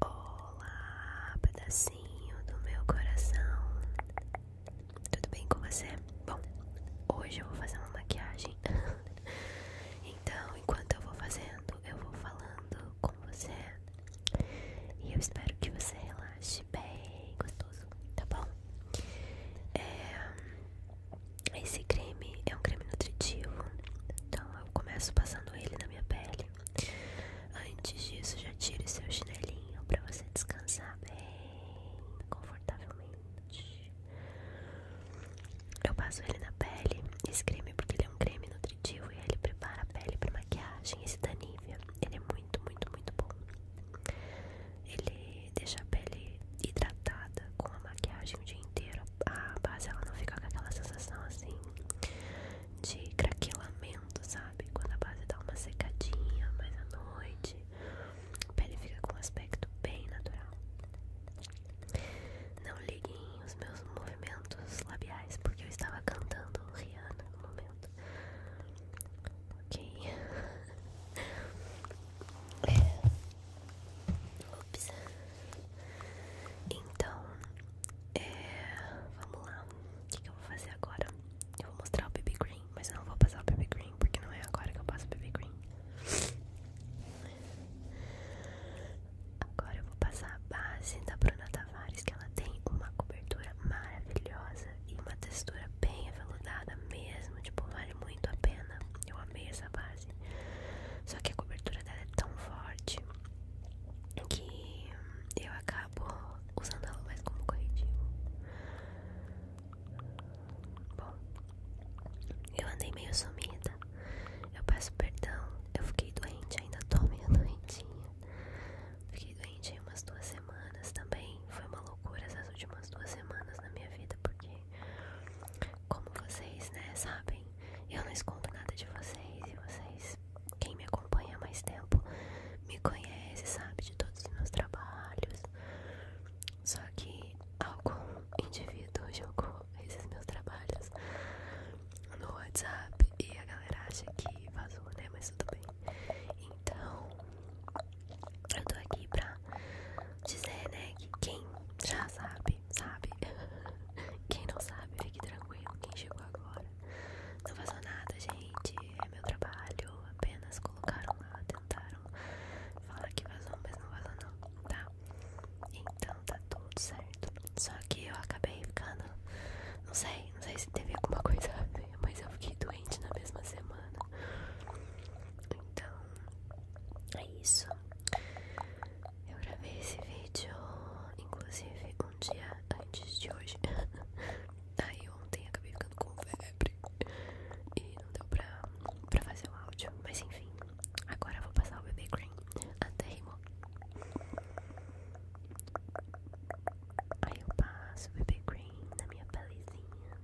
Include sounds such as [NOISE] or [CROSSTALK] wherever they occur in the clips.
Olá, pedacinho do meu coração. Tudo bem com você? Bom, hoje eu vou fazer uma maquiagem. [LAUGHS] então, enquanto eu vou fazendo, eu vou falando com você. E eu espero que você relaxe bem gostoso, tá bom? É... Esse creme é um creme nutritivo, então eu começo passando ele na minha pele. Antes disso, já tire seu chinelinho para você descansar bem confortavelmente. Eu passo ele na pele, esse creme porque ele é um creme nutritivo e ele prepara a pele para maquiagem. Esse da Nivea, ele é muito, muito, muito bom. Ele deixa a pele hidratada com a maquiagem inteiro a base ela não fica com aquela sensação assim de craquelamento, sabe? Quando a base dá uma secadinha mas à noite, a pele fica com um aspecto bem natural. Não liguem os meus movimentos labiais, porque eu estava cantando Rihanna no momento. Ok. [LAUGHS] É. Ops. Então, é, vamos lá. O que, eu vou fazer agora? Eu vou mostrar o BB Green, mas eu não vou passar o BB Green porque não é agora que eu passo o BB Green. Agora eu vou passar a base da Bruna Tavares, que ela tem uma cobertura maravilhosa e uma textura bem aveludada mesmo, tipo, vale muito a pena. Eu amei essa base. Só que a cobertura dela é tão forte que eu acabo usando ela mais como corretivo. Bom, eu andei meio sumida. Eu peço perdão. Eu fiquei doente, ainda tô meio [LAUGHS] doentinha. Fiquei doente aí umas duas semanas também. Foi uma loucura essas últimas duas semanas na minha vida, porque como vocês, né, sabem, eu não escondo nada de vocês e vocês, quem me acompanha há mais tempo, me conhece, sabe de todos os meus trabalhos. Só que algum indivíduo jogou esses meus trabalhos no WhatsApp e a galera acha que vazou, né? Mas tudo bem. Então, eu tô aqui pra dizer, né, que quem já sabe sabe? [LAUGHS] Quem não sabe, fique tranquilo. Quem chegou agora, não passou nada, gente. É meu trabalho. Apenas colocaram lá, tentaram falar que vazou, mas não vazou, não, tá? Então tá tudo certo. Só que eu acabei ficando. Não sei, não sei se teve alguma [LAUGHS] coisa a ver, mas eu fiquei doente na mesma semana. Então, é isso. Eu gravei esse vídeo, inclusive, um dia antes de hoje. [LAUGHS] Aí ontem acabei ficando com febre e não deu pra, pra fazer o áudio. Mas enfim, agora eu vou passar o bebê cream. Até rimou. Aí eu passo o bebê cream na minha palizinha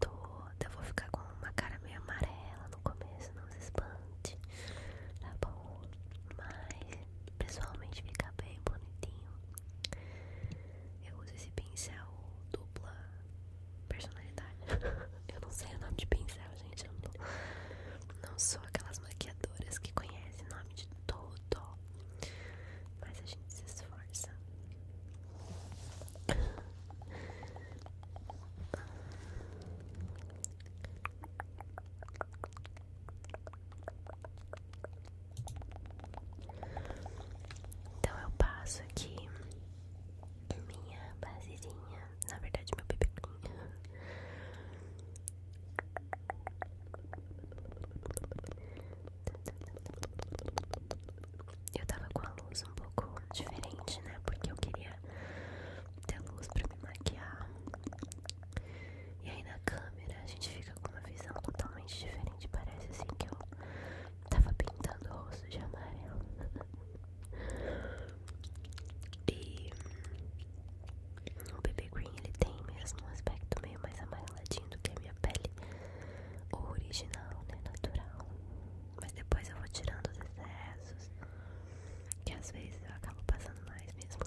toda. Eu vou ficar com uma cara meio amarela no começo, não se espante, tá bom? Mas pessoalmente fica bem bonitinho. Eu uso esse pincel dupla personalidade. [LAUGHS] eu não sei o nome de pincel, gente. não, não sou aquelas maquiadoras que conhecem o nome de tudo. Mas a gente se esforça. Então eu passo aqui minha basezinha, na verdade meu bebequinho eu tava com a luz um pouco diferente, né? Porque eu queria ter luz pra me maquiar. E aí na câmera a gente fica com uma visão totalmente diferente. Parece assim que eu tava pintando o rosto de amarelo. [LAUGHS] e o BB Green ele tem mesmo um aspecto meio mais amareladinho do que a minha pele original, né? Natural. Mas depois eu vou tirando os excessos, que às vezes eu acabo passando mais mesmo.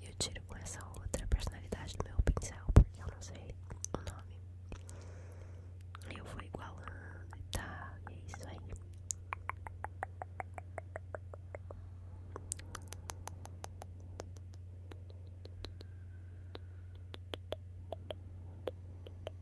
E eu tiro com essa outra personalidade do meu pincel, porque eu não sei o nome. E eu vou igualando e tá, e é isso aí.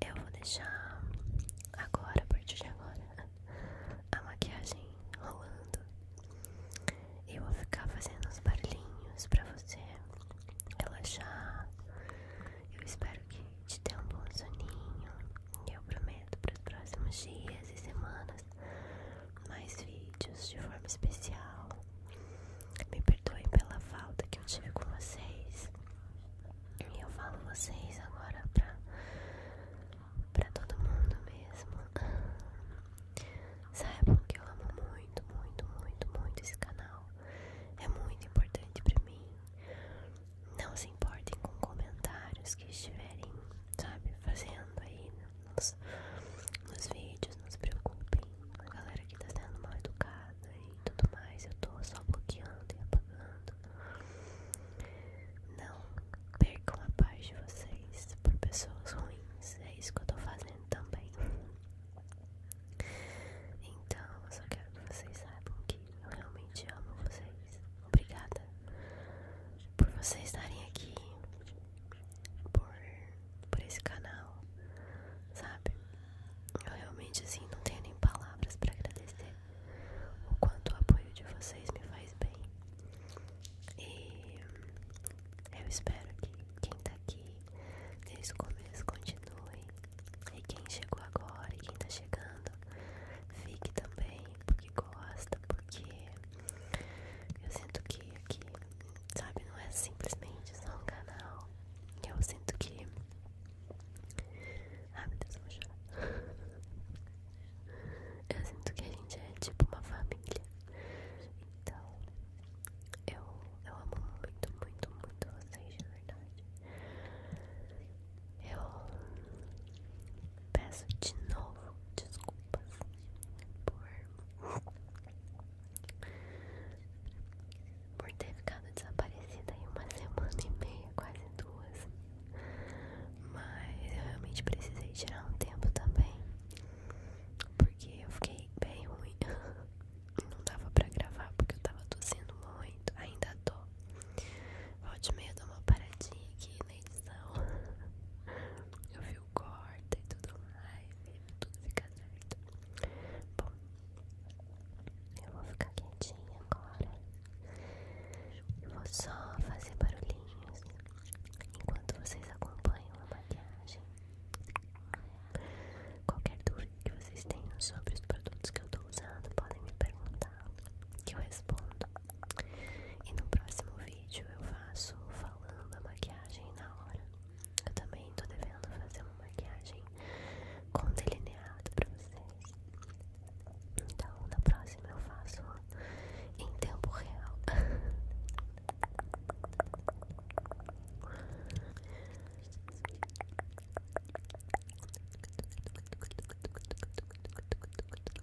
Eu vou deixar agora, a partir de agora, a maquiagem rolando. Eu vou ficar fazendo os barulhinhos pra você relaxar. Eu espero que te dê um bom soninho. E eu prometo para os próximos dias e semanas mais vídeos de forma especial. Me perdoem pela falta que eu tive com vocês. E eu falo vocês agora para pra todo mundo mesmo. sabe que eu amo muito, muito, muito, muito esse canal. É muito importante para mim. Não se importem com comentários que estiverem sabe, fazendo aí nos, nos vídeos, não se preocupem, a galera que tá sendo mal educada e tudo mais, eu tô só bloqueando e apagando. Não percam a paz de vocês por pessoas ruins, é isso que eu tô fazendo também. Então, eu só quero que vocês saibam que eu realmente amo vocês. Obrigada por vocês estarem aqui, por, por esse canal, sabe? Eu realmente, assim, não tenho nem palavras pra agradecer o quanto o apoio de vocês me faz bem. E eu espero que quem tá aqui desde começos continuem E quem chegou agora e quem tá chegando, fique também, que gosta, porque eu sinto que aqui, sabe, não é simplesmente só um canal. Eu sinto que. Ai meu Deus, vou chorar. Eu sinto que a gente é tipo uma família. Então, eu, eu amo muito, muito, muito vocês, de verdade. Eu Peço de novo desculpas por, ter ficado desaparecida em uma semana e meia, quase duas. Mas eu realmente precisei tirar um tempo também, porque eu fiquei bem ruim. [LAUGHS] Não dava pra gravar porque eu tava tossindo muito, ainda tô. Volte meia dar uma paradinha aqui edição. [LAUGHS] Eu vi o corte e tudo mais, tudo fica certo. Bom, eu vou ficar quietinha agora. Eu vou só fazer barulhinhos enquanto vocês acompanham a maquiagem. Qualquer dúvida que vocês tenham sobre os produtos que eu tô usando, podem me perguntar que eu respondo. E no próximo vídeo eu faço falando a maquiagem na hora. Eu também tô devendo fazer uma maquiagem com delineado pra vocês. Então na próxima eu faço em tempo real. [LAUGHS]